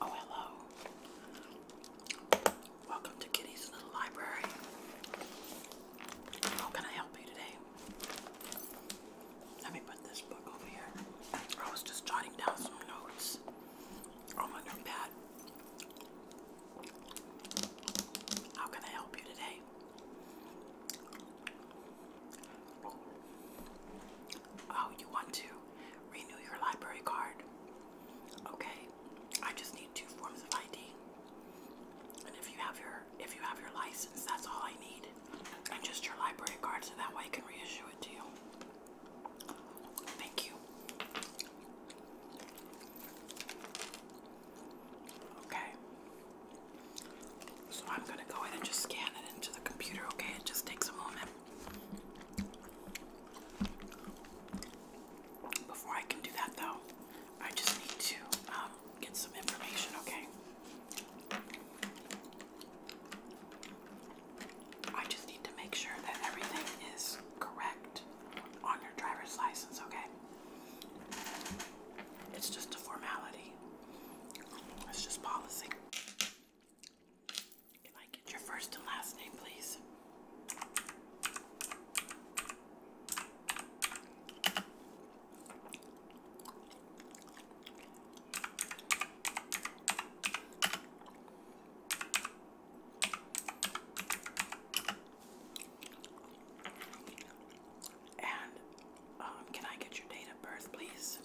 Oh, hello. Welcome to Kitty's Little Library. How can I help you today? Let me put this book over here. I was just jotting down some notes on my notepad. How can I help you today? Oh, you want to renew your library card? Okay. I just need two forms of ID. And if you have your if you have your license, that's all I need. And just your library card so that way I can reissue it to you. Thank you. Okay. So I'm gonna go ahead and just scan it into the computer, okay? It just takes a moment. Before I can do that though, I just need to um, get some information, okay? I just need to make sure that everything is correct on your driver's license, okay? It's just a formality, it's just policy. Can I get your first and last name, please? And um, can I get your date of birth, please?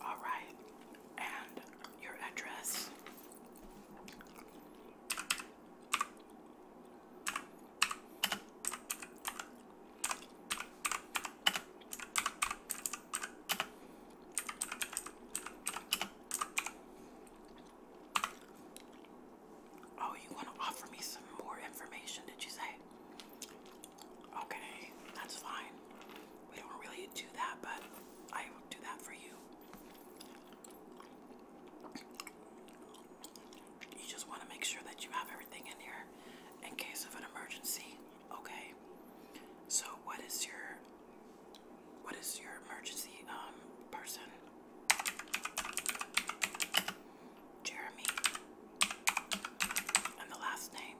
All right, and your address. Oh, you want to offer me some more information, did you say? Okay, that's fine. We don't really do that, but I will do that for you. You just want to make sure that you have everything in here in case of an emergency. Okay. So what is your what is your emergency um person? Jeremy, and the last name.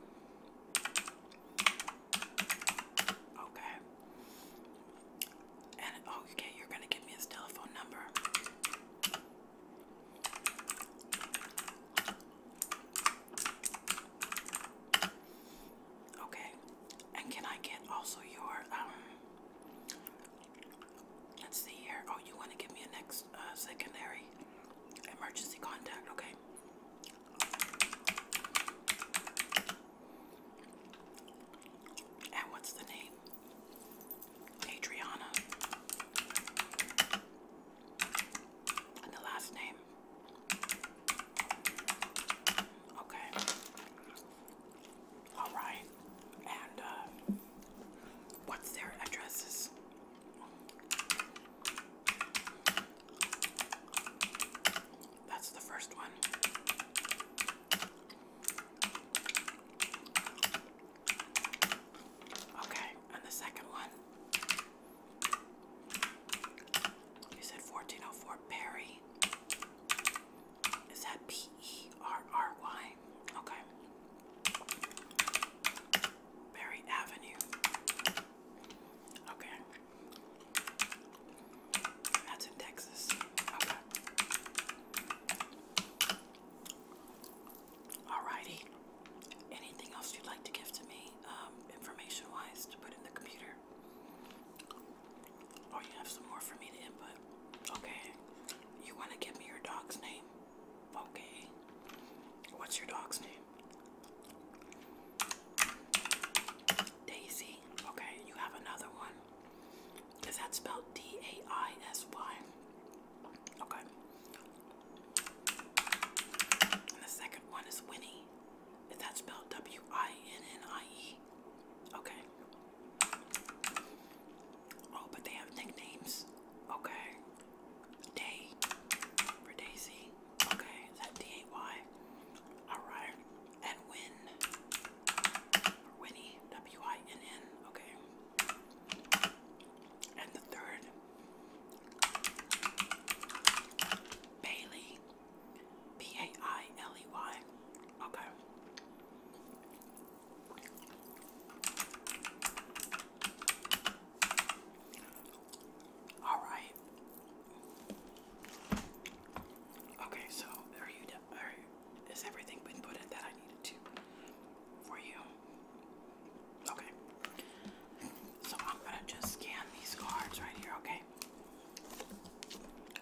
Okay. And oh, okay, you're gonna give me his telephone number. Okay, and can I get also your um? Let's see here. Oh, you want to give me a next uh, secondary emergency contact, okay? And what's the name? Adriana. And the last name. Okay. All right. And uh, what's their addresses? That's the first one. Okay, and the second one. You said 1404 Perry. Is that P E R R Y? Okay. Berry Avenue. Okay. That's in Texas. Okay. Alrighty. Anything else you'd like to give to me, um, information wise, to put in the computer? Or oh, you have some more for me to input? Okay. You want to give me your dog's name? Okay. What's your dog's name? Daisy. Okay, you have another one. Is that spelled D A I S Y? Okay. And the second one is Winnie. Is that spelled W I N N I E? Okay. Oh, but they have nicknames. Okay. Day for Daisy. Okay, that D A Y? Alright. And Winnie. W I N N. Okay. And the third Bailey. B A I L E Y. Okay. All right. Okay, so are you done? is everything been put in that I needed to for you? Okay. So I'm gonna just scan these cards right here, okay?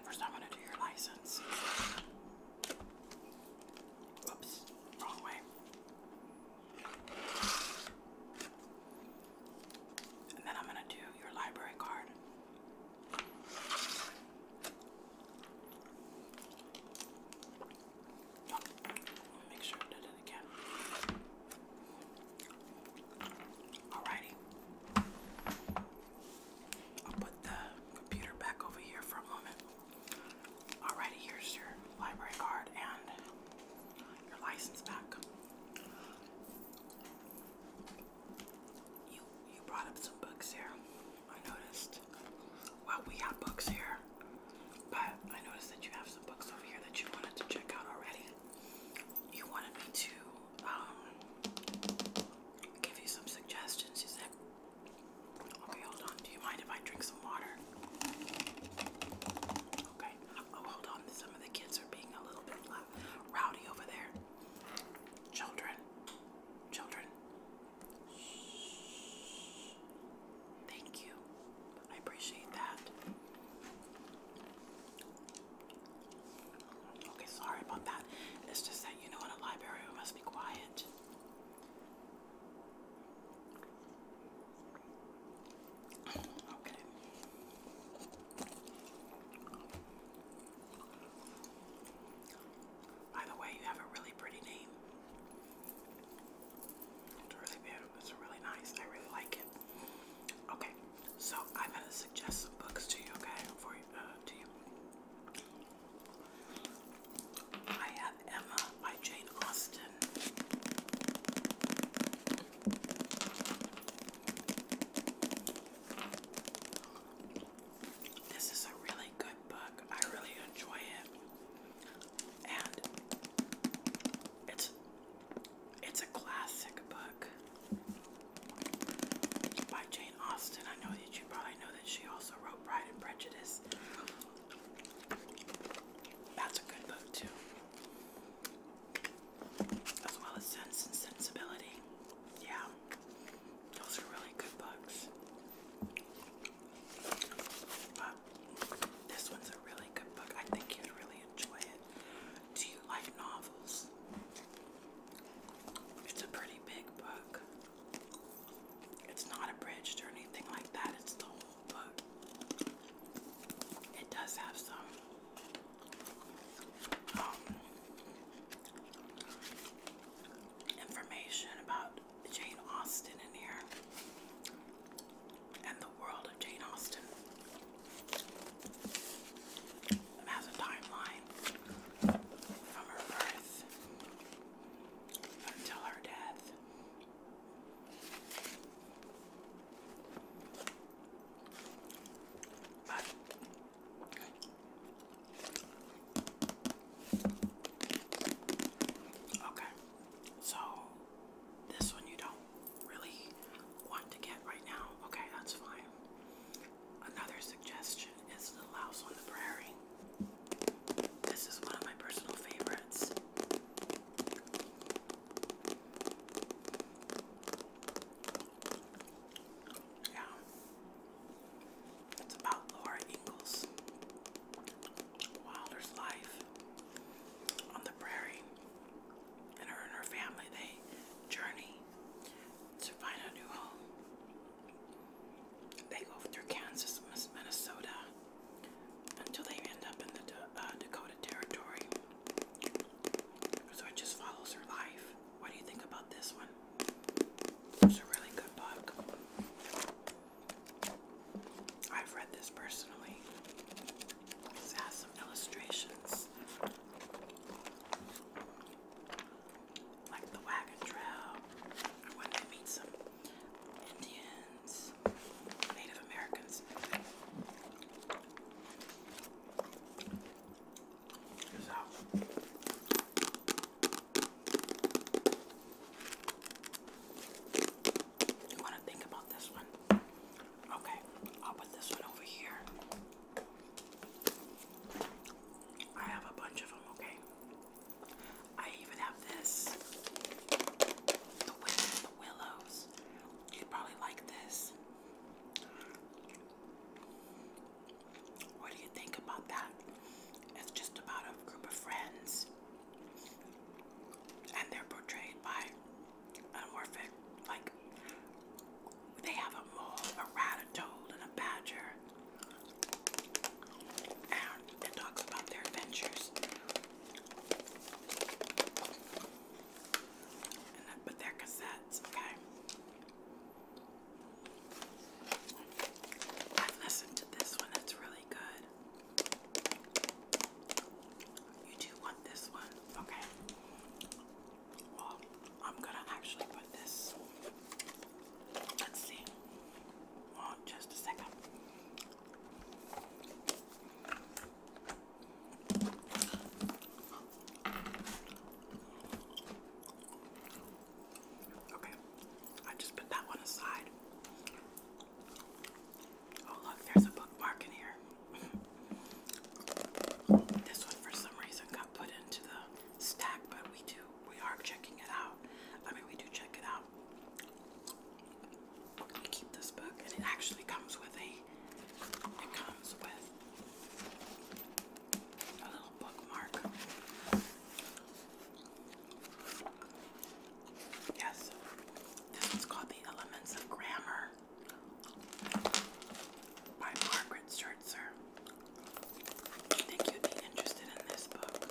First, I'm gonna do your license. Oops, wrong way. And then I'm going to do your library card. make sure I did it again. Alrighty. I'll put the computer back over here for a moment. Alrighty, here's your library card and your license back. You you brought up some books here. I noticed. Well, we have books here, but I noticed that you have some books over here that you wanted to check out already. You wanted me to um, give you some suggestions. You said, "Okay, hold on. Do you mind if I drink Okay. Oh, hold on. Some of the kids are being a little bit rowdy over there. Children. Children. Thank you. I appreciate that. Okay, sorry about that. It's just that you know in a library we must be quiet. By the way, you have a really pretty name. It's really beautiful. It's really nice. I really like it. Okay, so I'm gonna suggest some books to you. Okay, for uh, to you. I have Emma by Jane Austen. This is a really good book. I really enjoy it. And it's it's a classic book by Jane Austen. I know that you probably know that she also wrote Pride and Prejudice. That's a good book too as well as Sense and Sensibility. Yeah, those are really good books. But this one's a really good book. I think you'd really enjoy it. Do you like novels? It's a pretty big book. It's not abridged or anything like that. It's the it does have some um, information about Jane Austen in here and the world of Jane Austen. It a timeline from her birth until her death okay, so this one you don't really want to get right now. Okay, that's fine. Another suggestion is Little House on the Prairie. This is one of my personal favorites. Yeah. It's about Laura Ingalls. Wilder's life on the prairie. And her and her family, they journey to find a new home. They go through Kansas, Minnesota, until they end up in the uh, Dakota Territory. So it just follows her life. What do you think about this one? It's a really good book. I've read this personally. This has some illustrations. Like the wagon trail, or when they meet some Indian Native Americans. You want to think about this one? Okay, I'll put this one over here. I have a bunch of them, okay? I even have this the, the willows. You'd probably like this. What do you think about that? It's just about a group of friends, and they're portrayed by an orphan. Like, they have a mole, a rat, and a badger. And it talks about their adventures. And I put cassettes, okay? I've listened to this one, it's really good. You do want this one, okay? I'm gonna actually put this. Let's see. Well, just a second. Okay, I just put that one aside. Oh, look, there's a bookmark in here. this one, for some reason, got put into the stack, but we do, we are checking it out. I mean, we do check it out. I keep this book, and it actually comes with a. It comes with a little bookmark. Yes, this one's called "The Elements of Grammar" by Margaret Schertzer. I think you'd be interested in this book.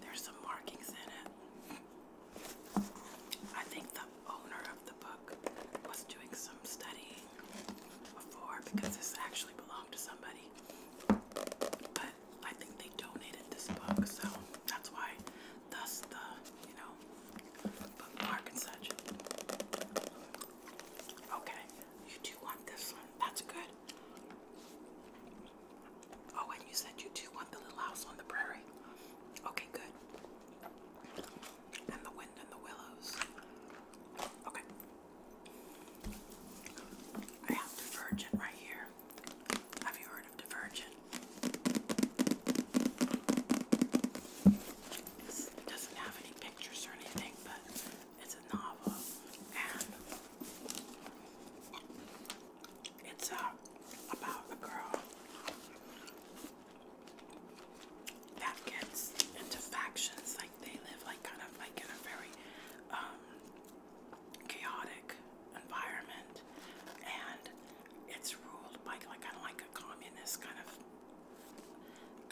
There's some markings in it. I think the owner of the book was doing some studying before because this actually belonged to somebody. But I think they donated this book, so that's why thus the, you know, bookmark and such. Okay, you do want this one. That's good. Oh, and you said you two want the little house on the prairie. Okay, good. And the wind and the willows. Okay. I have Divergent right here. Have you heard of Divergent? It's, doesn't have any pictures or anything, but it's a novel. It's uh, about a girl that gets into factions. Like they live like kind of like in a very um, chaotic environment, and it's ruled by like kind of like a communist kind of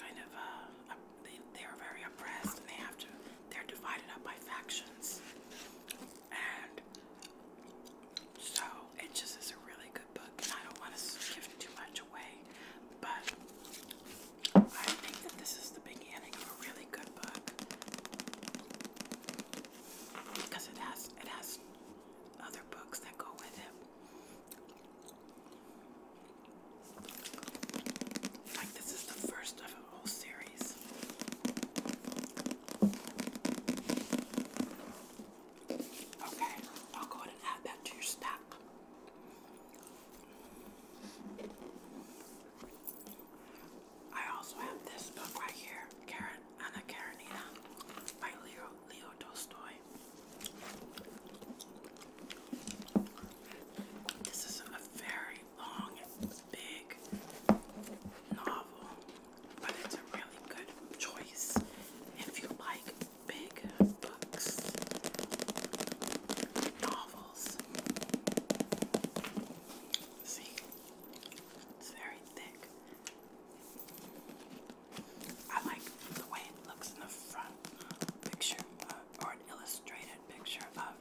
kind of uh, they they are very oppressed, and they have to they're divided up by factions. And so it just is a really good book, and I don't want to give too much away, but I think that this is the beginning of a really good book because it has it has other books that go with it. Like this is the first of whole series. Okay, I'll go ahead and add that to your stack. I also have this book right here, Anna Karenina by Leo Leo Tolstoy. This is a very long, big novel, but it's a really good choice if you like big books, novels. See, it's very thick. I like the way it looks in the front picture uh, or an illustrated picture of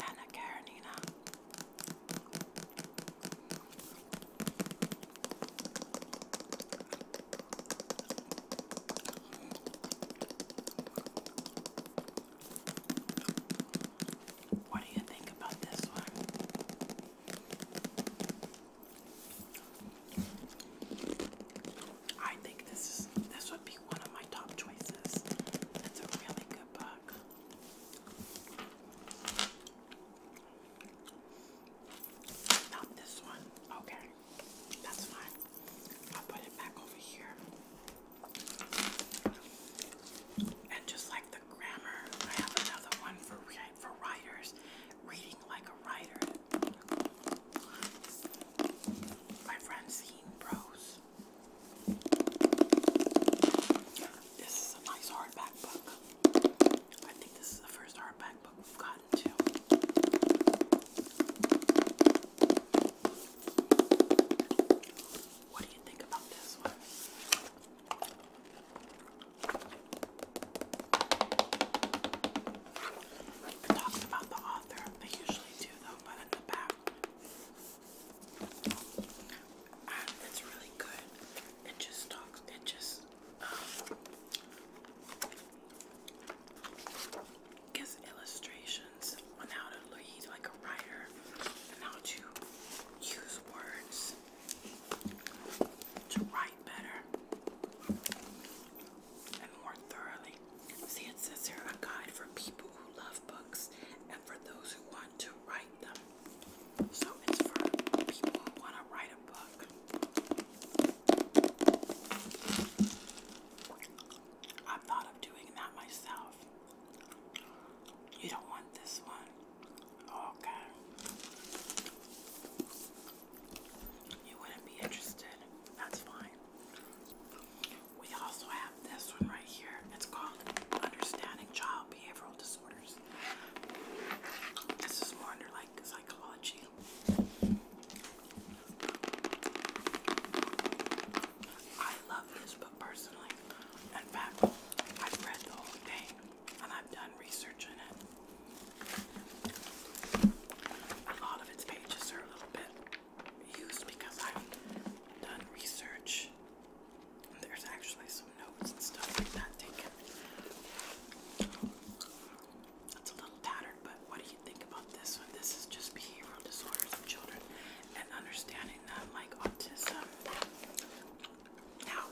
Anna Karenina. What do you think about this one? I think this is this would be one of my top choices. It's a really good book. Not this one. Okay. That's fine. I'll put it back over here. And just like the grammar, I have another one for for writers. Reading like a writer. By Francine Prose. This is a nice hardback book. I think this is the first hardback book we've gotten What do you think about this one? It talks about the author. They usually do though, but in the back and it's really good. It just talks, it just um, gives illustrations on how to read like a writer and how to use words to write better and more thoroughly. See, it says here a guide for people who love books and for those who want to write them. So it's for people who want to write a book. I thought of doing that myself. You don't want this one? Okay. You wouldn't be interested. That's fine. We also have this one right here. It's called Understanding Child behavioral disorders. This is more under like psychology. I love this book personally. In fact, I've read the whole thing and I've done research in it. A lot of its pages are a little bit used because I've done research. There's actually some some That's a little tattered, but what do you think about this one? This is just behavioral disorders of children and understanding them like autism. Now,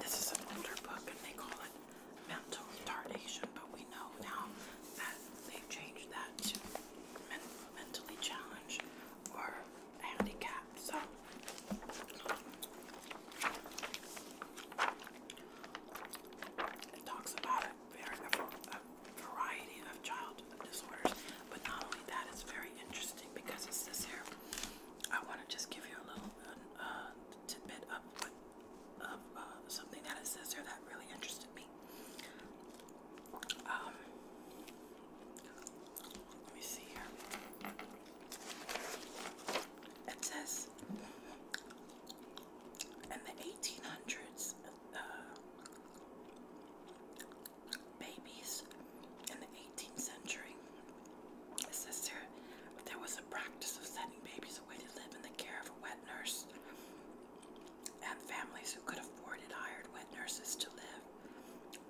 this is an older book and they call it mental retardation, but we know now that they changed that to mentally challenged or handicapped. So it talks about a, variety of child disorders, but not only that, it's very interesting because it's this here. I want to just give you a little tidbit of uh, something that it says here that really interested me. Um, it says in the 1800s, uh, babies in the 18th century, it says there, there was a practice of sending babies away to live in the care of a wet nurse, and families who could afford it hired wet nurses to live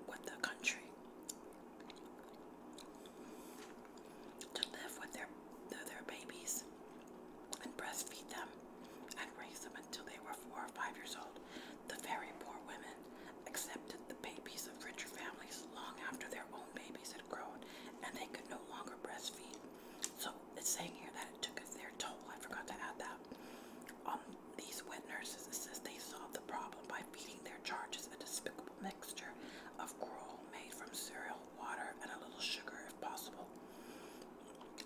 with the country to live with their, their babies and breastfeed them and raise them until they were four or five years old. The very poor women accepted the babies of richer families long after their own babies had grown and they could no longer breastfeed. So it's saying here that it took their toll. I forgot to add that. Um, these women nurses insist they solve the problem by feeding their charges a despicable mixture of gruel made from cereal, water, and a little sugar if possible.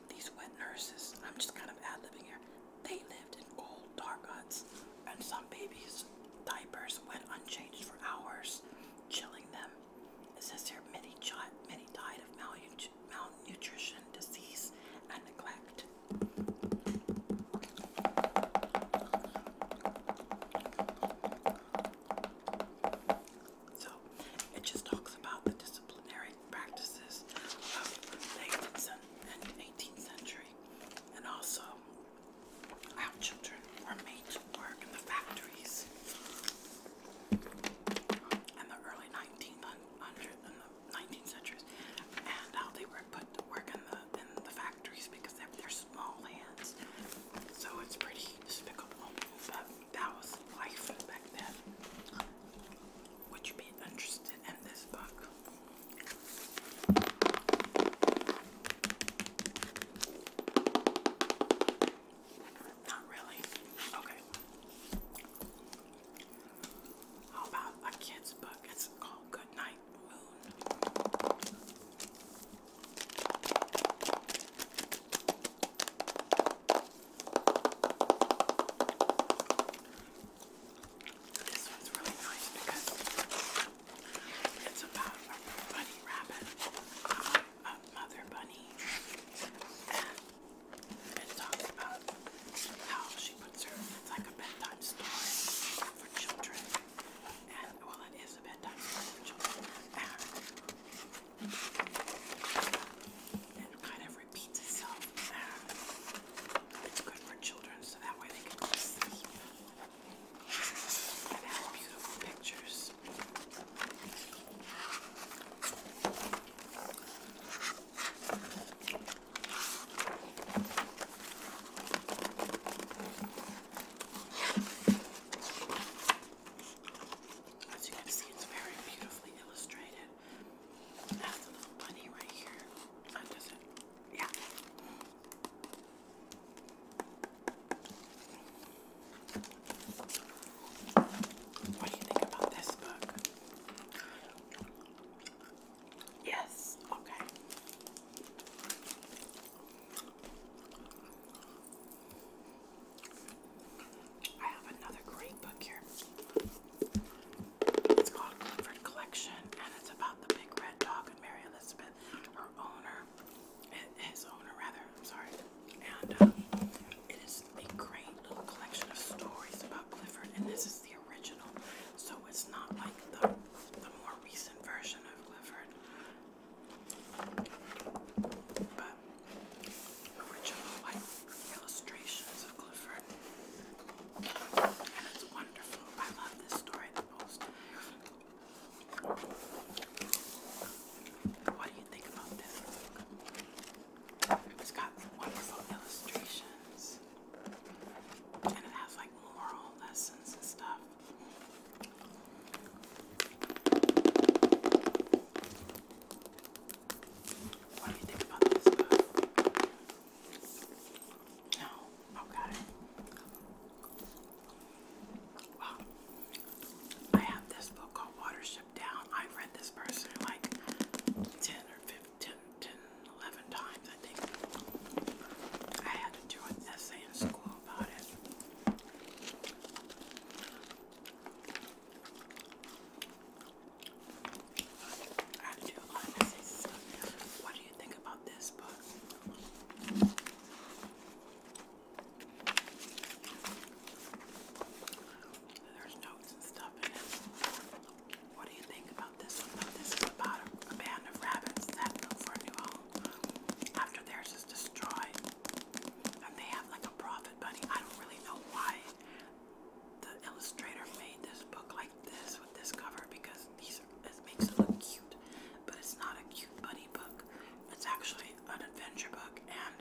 These wet nurses, I'm just kind of ad libbing here, they lived in old, dark huts, and some babies' diapers went unchanged for hours, chilling them. It says here many, many died of malnutrition, disease, and neglect. So it just talks about the disciplinary practices of the 18th century, and also how children were made to work in the factories in the early 19th centuries, and how they were put to work in the in the factories because they're small hands, so it's pretty despicable. But that was life back then. Would you be interested in this book? Not really. Okay. How about a kid's book? It's called Good Night this one's really nice because it's about a bunny rabbit, a mother bunny, and it talks about how she puts her. like a bedtime story for children. And, well, it is a bedtime ritual. And it kind of repeats itself. It's good for children, so that way they can sleep. It has beautiful pictures. As you can see, it's very beautifully illustrated. That's the little bunny right here. That doesn't, yeah. What do you think about this book? Yes, okay. I have another great book here. It's called Clifford Collection, and it's about the big red dog and Mary Elizabeth, her owner, his owner rather. I'm sorry, and um, it is a great little collection of stories about Clifford, and this is the original, so it's not like the the more recent version of Clifford. But original like illustrations of Clifford. And it's wonderful. I love this story most. What do you think about this It's got wonderful illustrations. And it has like moral lessons and stuff. What do you think about this No, okay. Well, I have this book called Watership Down. I read this person like 10 or 15, 11 times, I think. I had to do an essay in school about it. I had to do a lot of essays and stuff. What do you think about this book? There's notes and stuff in it. What do you think about this one? This is about a, a band of rabbits that look for a new home after theirs is destroyed. And they have like a profit bunny. I don't really know why the illustrator made this book like this with this cover because these it makes it look cute. But it's not a cute bunny book. It's actually an adventure book and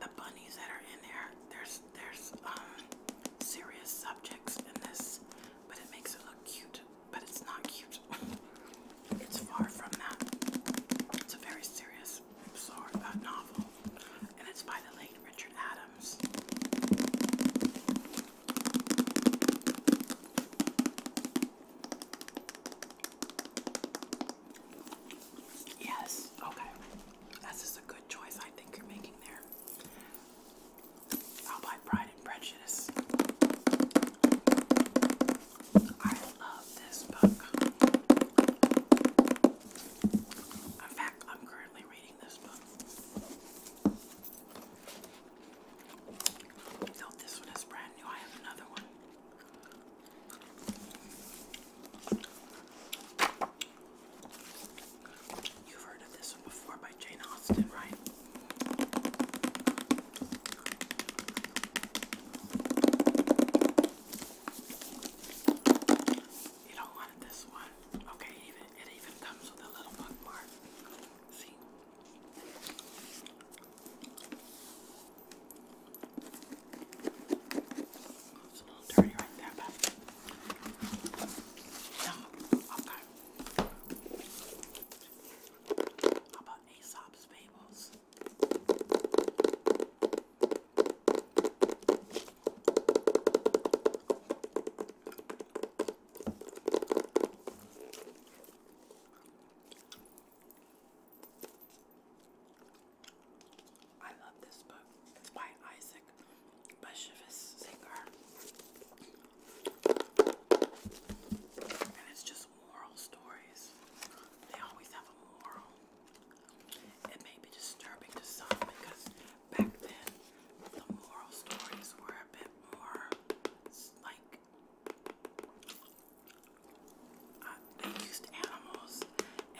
the bunnies that are in there, there's there's um serious subjects in this, but it makes it look cute but it's not cute. it's far from that. It's a very serious, i sort uh, novel, and it's by the late Richard Adams. Yes, okay. That's just a good choice I think you're making there. I'll buy Pride and Prejudice. I love this book. In fact, I'm currently reading this book. So this one is brand new. I have another one. You've heard of this one before by Jane Austen, right? You don't want it this one. Okay, even it even comes with a little bookmark. See? It's a little dirty right there, but no, okay. How about Aesop's Fables. I love this book. It's by Isaac Bashevis Singer. And it's just moral stories. They always have a moral. It may be disturbing to some because back then the moral stories were a bit more like uh, they used animals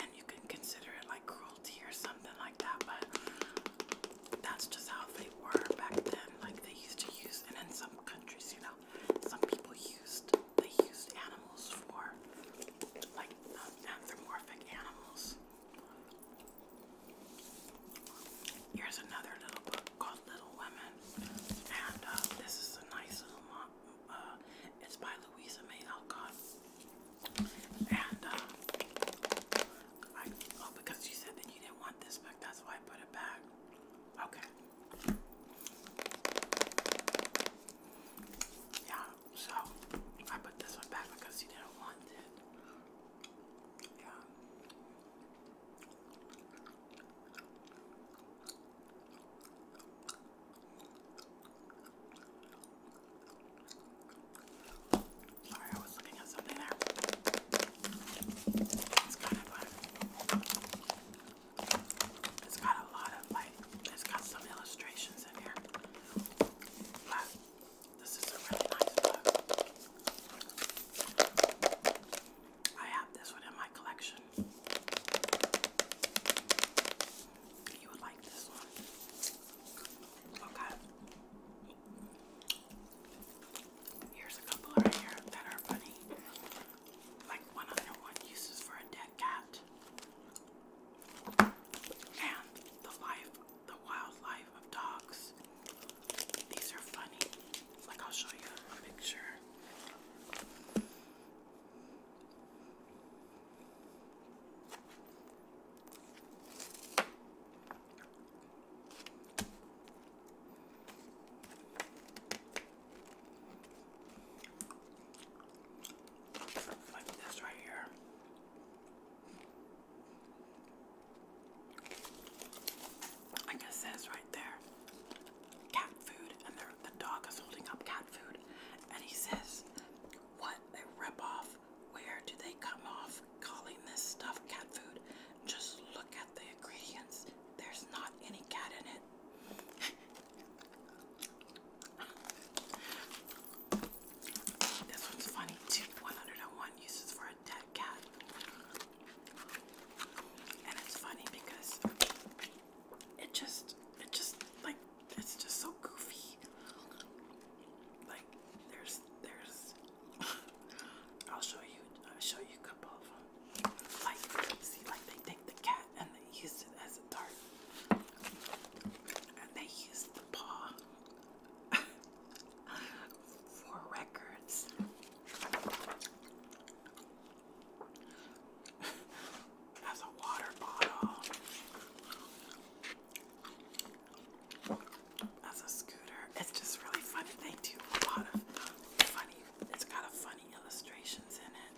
and you can consider it like cruelty or something like that, but that's just how they were back then. Like they used to use, and in some countries, you know, some people used they used animals for like um, anthropomorphic animals. Here's another little book called Little Women, and uh, this is a nice little mom. Uh, it's by Louisa May Alcott, and uh, oh, because you said that you didn't want this book, that's why I put it back. Okay. Yeah, so I put this one back because you didn't want it. Yeah. Sorry, I was looking at something there. It's kind of fun. It's got a lot of like, it's got some illustrations in here. But this is a really nice book. I have this one in my collection. You would like this one. Okay. Here's a couple right here that are funny like 101 uses for a dead cat. And the life, the wildlife of dogs. These are funny. Like I'll show you a picture. Like this right here. I guess says right there, cat food, and the dog is holding up cat food, and he says, "What a ripoff! Where do they come off calling this stuff cat food? Just look at the ingredients. There's not any cat in it. this one's funny too. 101 uses for a dead cat. And it's funny because it just it just like it's just so goofy. Like there's there's I'll show you I'll show you a couple of them like see, like they take the cat and they use it as a dart, and they use the paw for records. As a water bottle, as a scooter, it's just really funny. They do a lot of funny. It's got funny illustrations in it.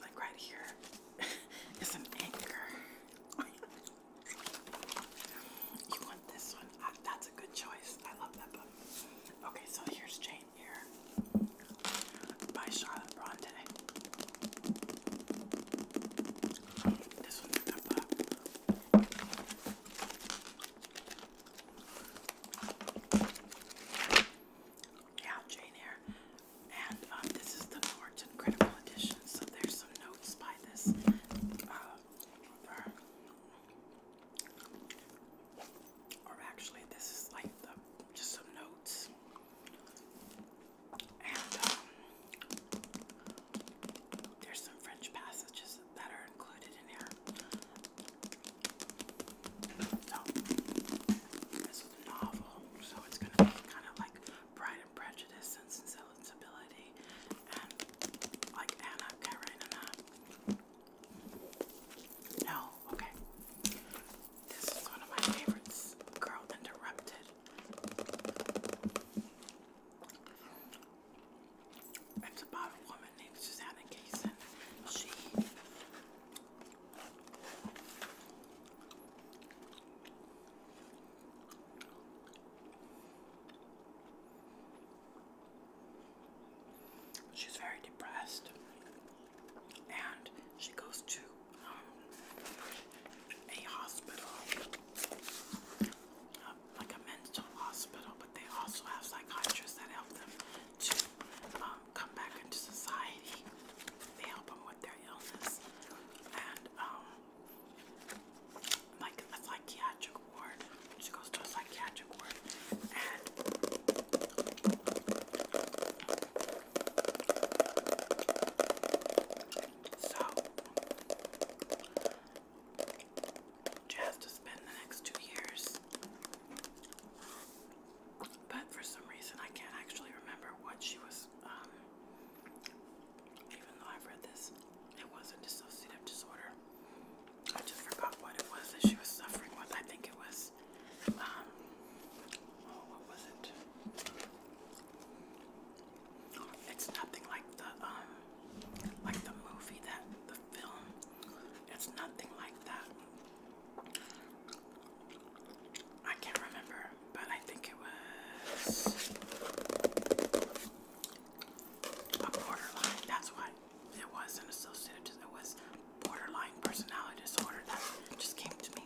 Like right here is an anchor. you want this one? that's a good choice. I love that book. Okay, so here's Jane Eyre by Charlotte Bronte. This one's a book. Yeah, Jane Eyre. And um, this is the Norton Critical Edition, so there's some notes by this uh, Or actually, this is like just some notes. And um, there's some French passages that are included in here. So this is a novel, so it's gonna be kind of like Pride and Prejudice and Sensibility, and like Anna Karenina. No, okay. This is one of my favorites. Girl Interrupted. It's about a woman she's very depressed, and she goes to um, a hospital, uh, like a mental hospital but they also have psychiatrists that help them to um, come back into society. They help them with their illness. And um, like a psychiatric ward. She goes to a psychiatric ward. so she has to spend the next two years but for some reason, I can't actually remember what she was, um, even though I've read this. It was a dissociative disorder. I just forgot what it was that she was suffering with. I think it was, um, oh, what was it? It's nothing like the, um, like the movie that, the film. It's nothing like that. I can't remember, but I think it was a borderline. That's what it was an associated. It was borderline personality disorder. That just came to me,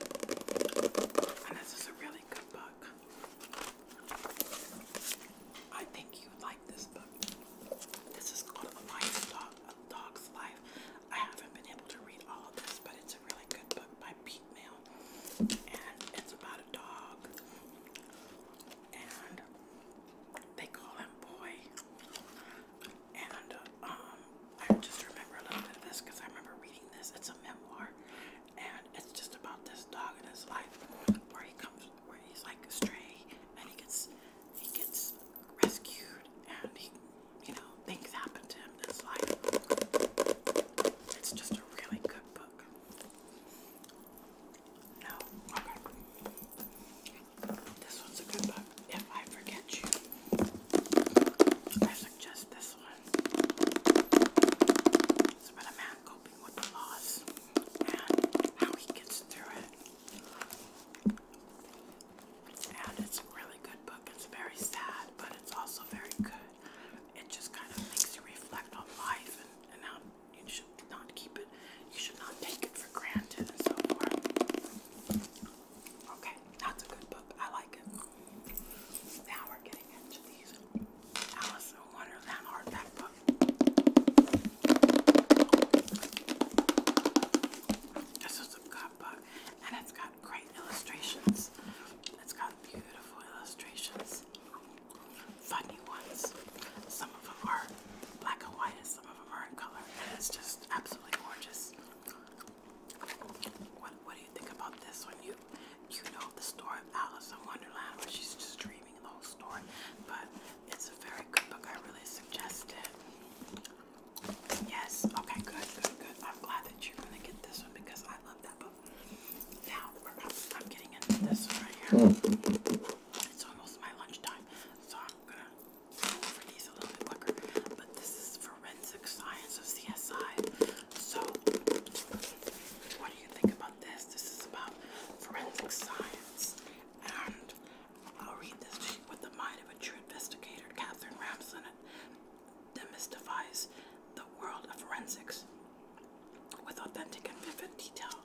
and this is a really good book. I think you like this book. This is called A Livestock a dog's life. I haven't been able to read all of this, but it's a really good book by Pete Mill, and it's about a dog, and they call him Boy. And um, I just remember a little bit of this because I remember reading this. It's a memoir, and it's just about this dog and his life, where he comes, where he's like stray, and he gets he gets rescued and he, you know, things happen to him in his life. It's just a really good book. No, okay. This one's a good book. If I forget you, I suggest this one. It's about a man coping with loss and how he gets through it and it's a really good book. It's very sad, but it's also very good. It just kind of makes you reflect on life and, how you should not keep it, you should not take it for granted and so forth. Okay, that's a good book. I like it. Now we're getting into these Alice in Wonderland hardback book. This is book, and it's got great illustrations. It's got beautiful illustrations, funny ones. Some of them are black and white, and some of them are in color, and it's just absolutely gorgeous. What, what do you think about this one? You you know the story of Alice in Wonderland, where she's just dreaming the whole story, but it's a very good book. I really suggest it. Yes. Okay, good, good, I'm glad that you're going to get this one because I love that book. Now, I'm getting into this one right here. Hmm. It's almost my lunchtime, so I'm going to go over these a little bit quicker. But this is Forensic Science of CSI. So, what do you think about this? This is about forensic science and I'll read this to you with the mind of a true investigator. Catherine Ramson demystifies the world of forensics with authentic and vivid detail.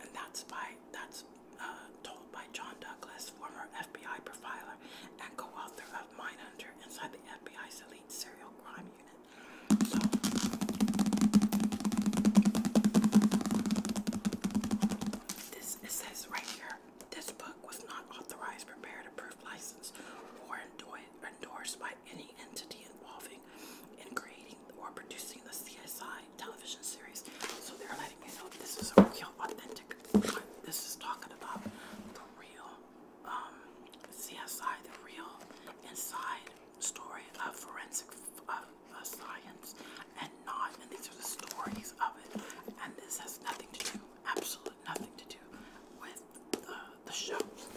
And that's by that's uh, told by John Douglas, former FBI profiler and co-author of Hunter*, Inside the FBI's Elite Serial Crime Unit. So, this it says right here this book was not authorized, prepared, approved, licensed, or endorsed by any entity involving in creating or producing the CSI television series. So they're letting you know this is a real, authentic. This is talking about the real um, CSI, the real inside story of forensic science and not. And these are the stories of it. And this has nothing to do, absolutely nothing to do with the, the shows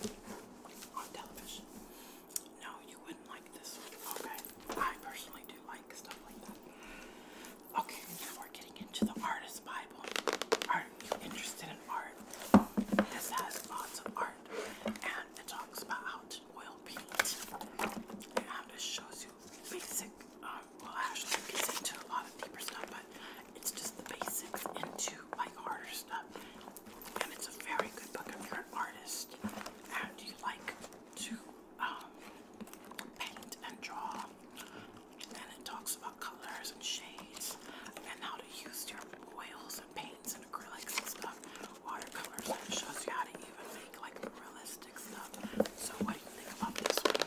on television. No, you wouldn't like this Okay. I personally do like stuff like that. Okay, now we're getting into the artist Bible. Are you interested in art? This has lots of art and it talks about oil paint it shows you basic uh, well actually gets into a lot of deeper stuff, but it's just the basics into like harder stuff. And it's a very good book if you're an artist and you like to um, paint and draw. And it talks about colors and shades and how to use your oils and paints and acrylics and stuff, watercolors, and it shows you how to even like realistic stuff. So what do you think about this one?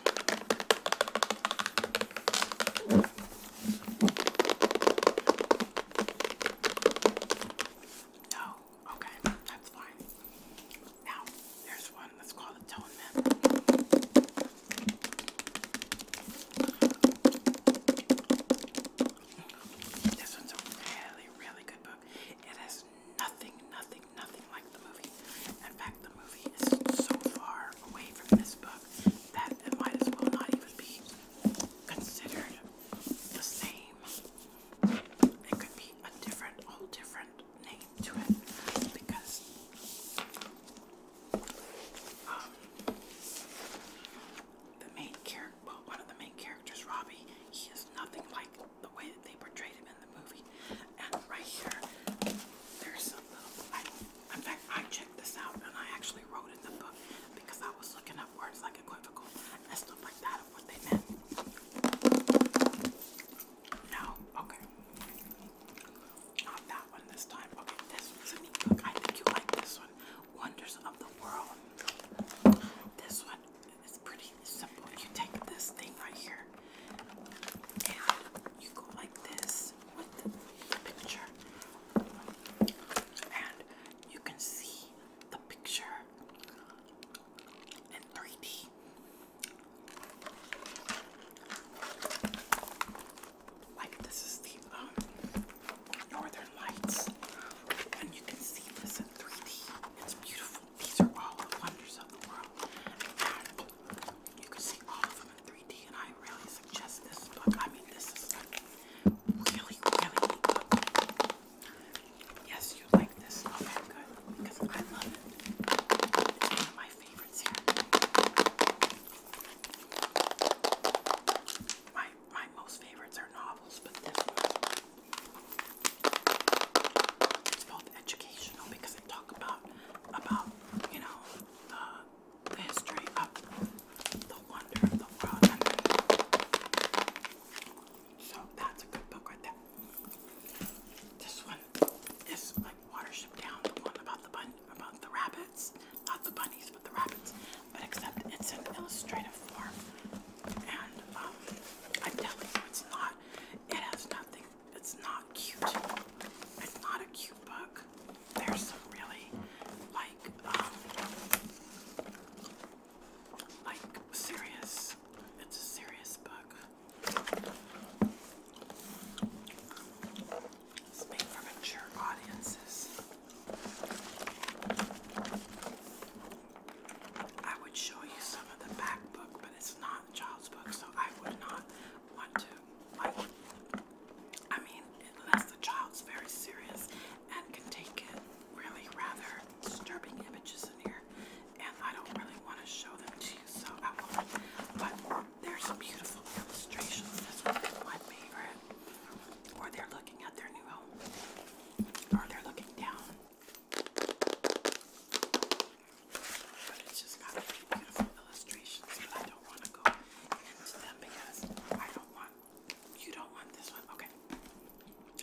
No, oh, okay, that's fine. Now, there's one that's called Atonement. This one's a really, really good book. It nothing, nothing, nothing like the movie. In fact, the movie is so far away from this book that it might as well not even be considered the same. It could be a different, whole different name to it because um, the main character, well, one of the main characters, Robbie, he is nothing like the way that they portrayed him in the movie. And right here, there's some little. in fact, I checked this out and I actually wrote in the book because I was looking up words like equivocal and stuff like that of what they meant. No, okay. Not that one this time. this one's I think you like this one. Wonders of the World. This one is pretty is You take this thing right here and you go like this with the picture, and you can see the picture in 3D. Like this is the um, northern lights, and you can see this in 3D. It's beautiful. These are all the wonders of the world. And you can see all of them in 3D, and I really suggest this book. I mean, this is like really, really neat Yes, you like this. novel good. Because I love it. It's one of my favorites My my most favorites are novels, but this one. It's both educational because talk about about you know the, history of the wonder of the world. So that's a good book right there. This one is like Watership Down, about the bun about the rabbits, not the bunnies, but the rabbits. But except it's an illustrative form, and um, I'm telling you, it's not. It has nothing it's not cute. It's not a cute book. There's some really like um like serious it's a serious book. It's made for mature audiences. I would show you some of the back book, but it's not child's book, so I would not want to, like, I mean, unless the child's very serious and can take it, really rather disturbing images in here, and I don't really want to show them to you, so I won't. But there's some beautiful illustrations. This one's my favorite. Or they looking at their new home, or they looking down. But it's just got beautiful illustrations. I don't want to go into them because I don't want you don't want this one. Okay.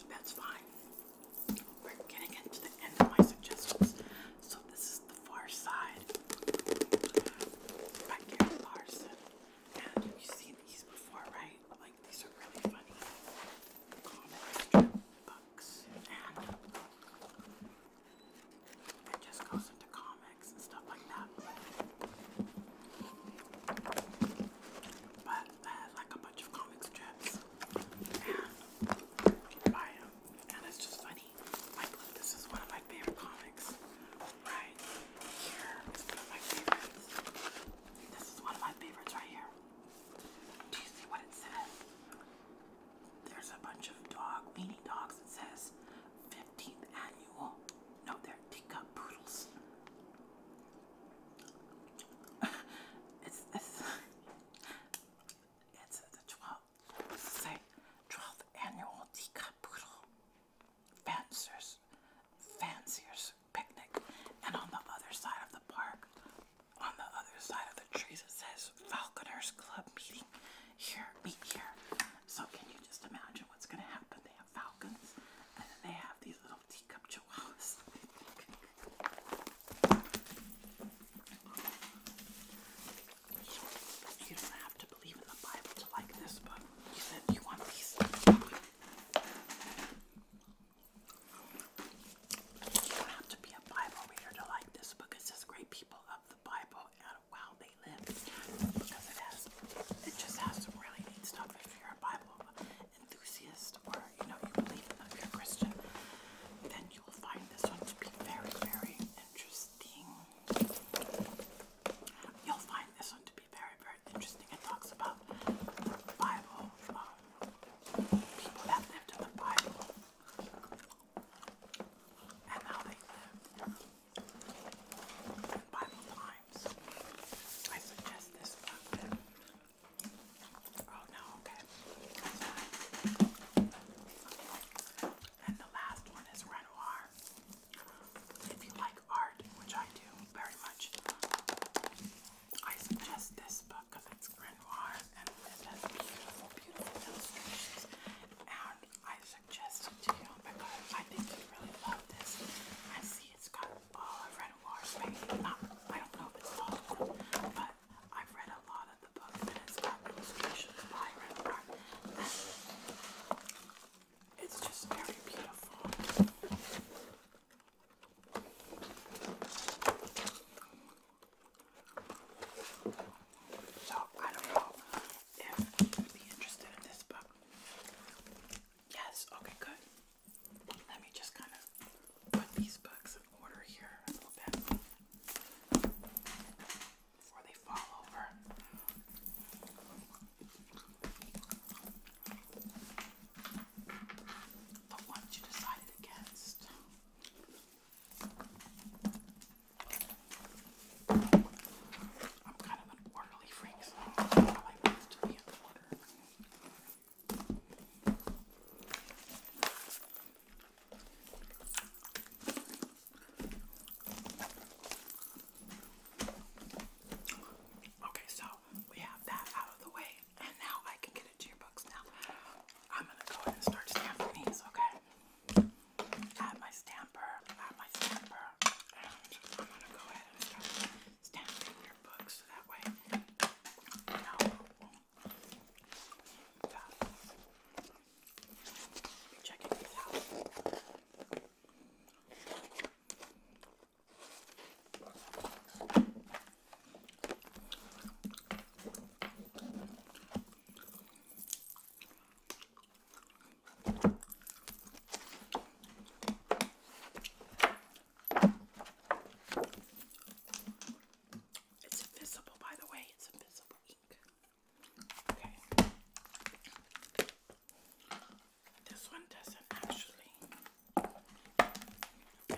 That's fine. We're getting into the end of my suggestions. So this is the far side. By Gary Larson. And you've seen these before, right? Like these are really funny comic strip books. It just goes into comics and stuff like that. But I like a bunch of comic strips and you buy them. And it's just funny. Like, look, this is one of my favorite comics. Right here is This is one of my favorites right here. Do you see what it says? there's a bunch of dog, weenie dogs. It says 15th annual. No, they're teacup poodles. it's, it's, it's the 12th, say? 12th annual teacup poodle fanciers, fanciers picnic. And on the other side of the park, on the other side of the trees it says Falconers Club meeting here, meet here. So can you just imagine what's gonna happen? They have falcons and then they have these little teacup chihuahuas. you don't have to believe in the Bible to like this, but you said you want these. You don't have to be a Bible reader to like this book. It says great people of Bible out while they live because it has it just has some really neat stuff if you're a Bible enthusiast or you know you believe in if you're a Christian then you will find this one to be very very interesting. You'll find this one to be very very interesting. It talks about the Bible, um, people that lived in the Bible and how they lived. In Bible Times, I suggest this one. Oh no, okay. And the last one is Renoir. If you like art, which I do very much, I suggest this book because it's Renoir and this has beautiful, beautiful illustrations. And I suggest it to you because I think you really love this. I see it's got all I've read a large I don't know if it's all but I've read a lot of the books it's got illustrations by Renoir. It's just very beautiful. So I don't know if you'd be interested in this book. Yes, okay, good. Let me just kind of put these books in order here a little bit before they fall over. The ones you decided against. I'm Okay, so we have that out of the way, and now I can get into your books now. I'm gonna go ahead and start stamping these, okay? I have my stamper. I have my stamper. And I'm going to go ahead and start your books that way you know checking these out. It's invisible, by the way, it's invisible ink. Okay. This one doesn't actually. Yeah.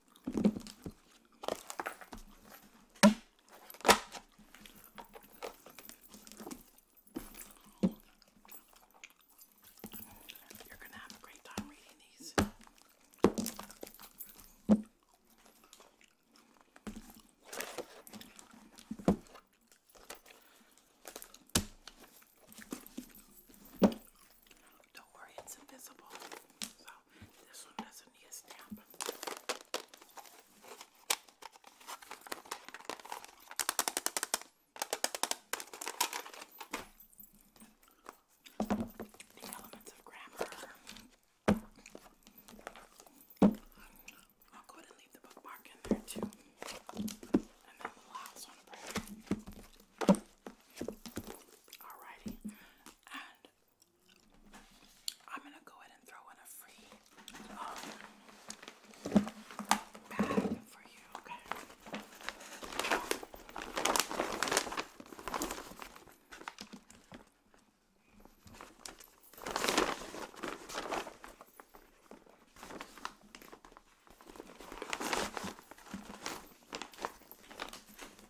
You're going to have a great time reading these. Don't worry, it's invisible. So this one doesn't need a stamp. The elements of grammar. I'll go ahead and leave the bookmark in there too. And then the last one, Alrighty. I'm gonna go ahead and throw in a free um, bag for you, okay?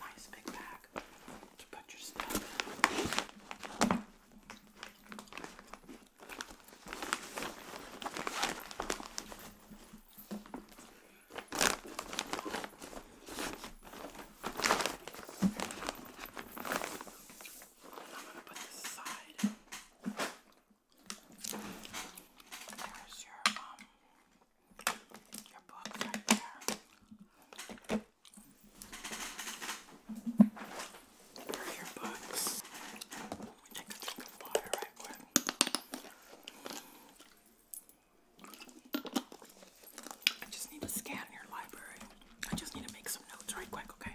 nice big bag to put your stuff in. I'm going to put this aside. There's your um your book right there. Here are your books. Let take a drink of water right quick. I just need to scan your library. I just need to make some notes right quick, okay?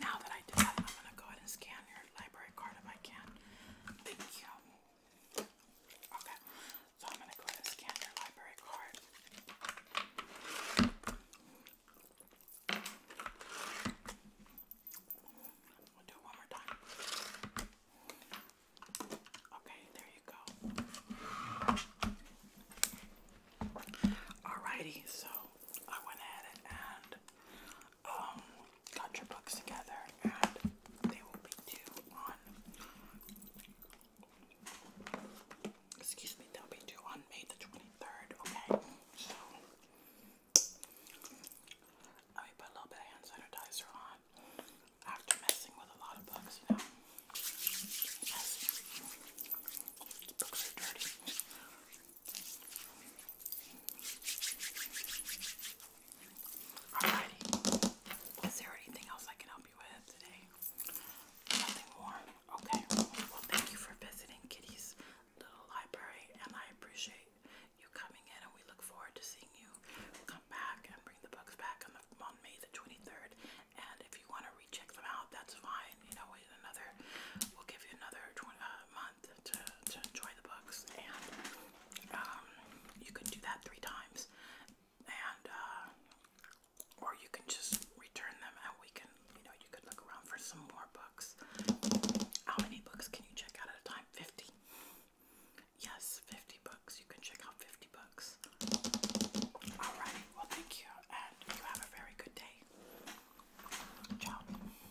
Now that I do that, I'm gonna go ahead and scan your library card if I can. Thank you. Okay, so I'm gonna go ahead and scan your library card. We'll do it one more time. Okay, there you go. Alrighty, so I went ahead and um, got your books together, and they will be due on. Excuse me, they'll be due on May the twenty third. Okay, so I put a little bit of hand sanitizer on after messing with a lot of books, you know. books are dirty. Alrighty. Is there anything else I can help you with today? Nothing more? Okay. Well, thank you for visiting Kitty's little library, and I appreciate you coming in, and we look forward to seeing you come back and bring the books back on, on May the 23rd. And if you want to recheck them out, that's fine. You know, in another, we'll give you another 20, uh, to, enjoy the books, and um, you can do that three times, and uh, or you can just return them, and we can, you know, you could look around for some more books. How many books can you check out at a time? Fifty. Yes, fifty books. You can check out fifty books. All right. Well, thank you, and you have a very good day. Ciao.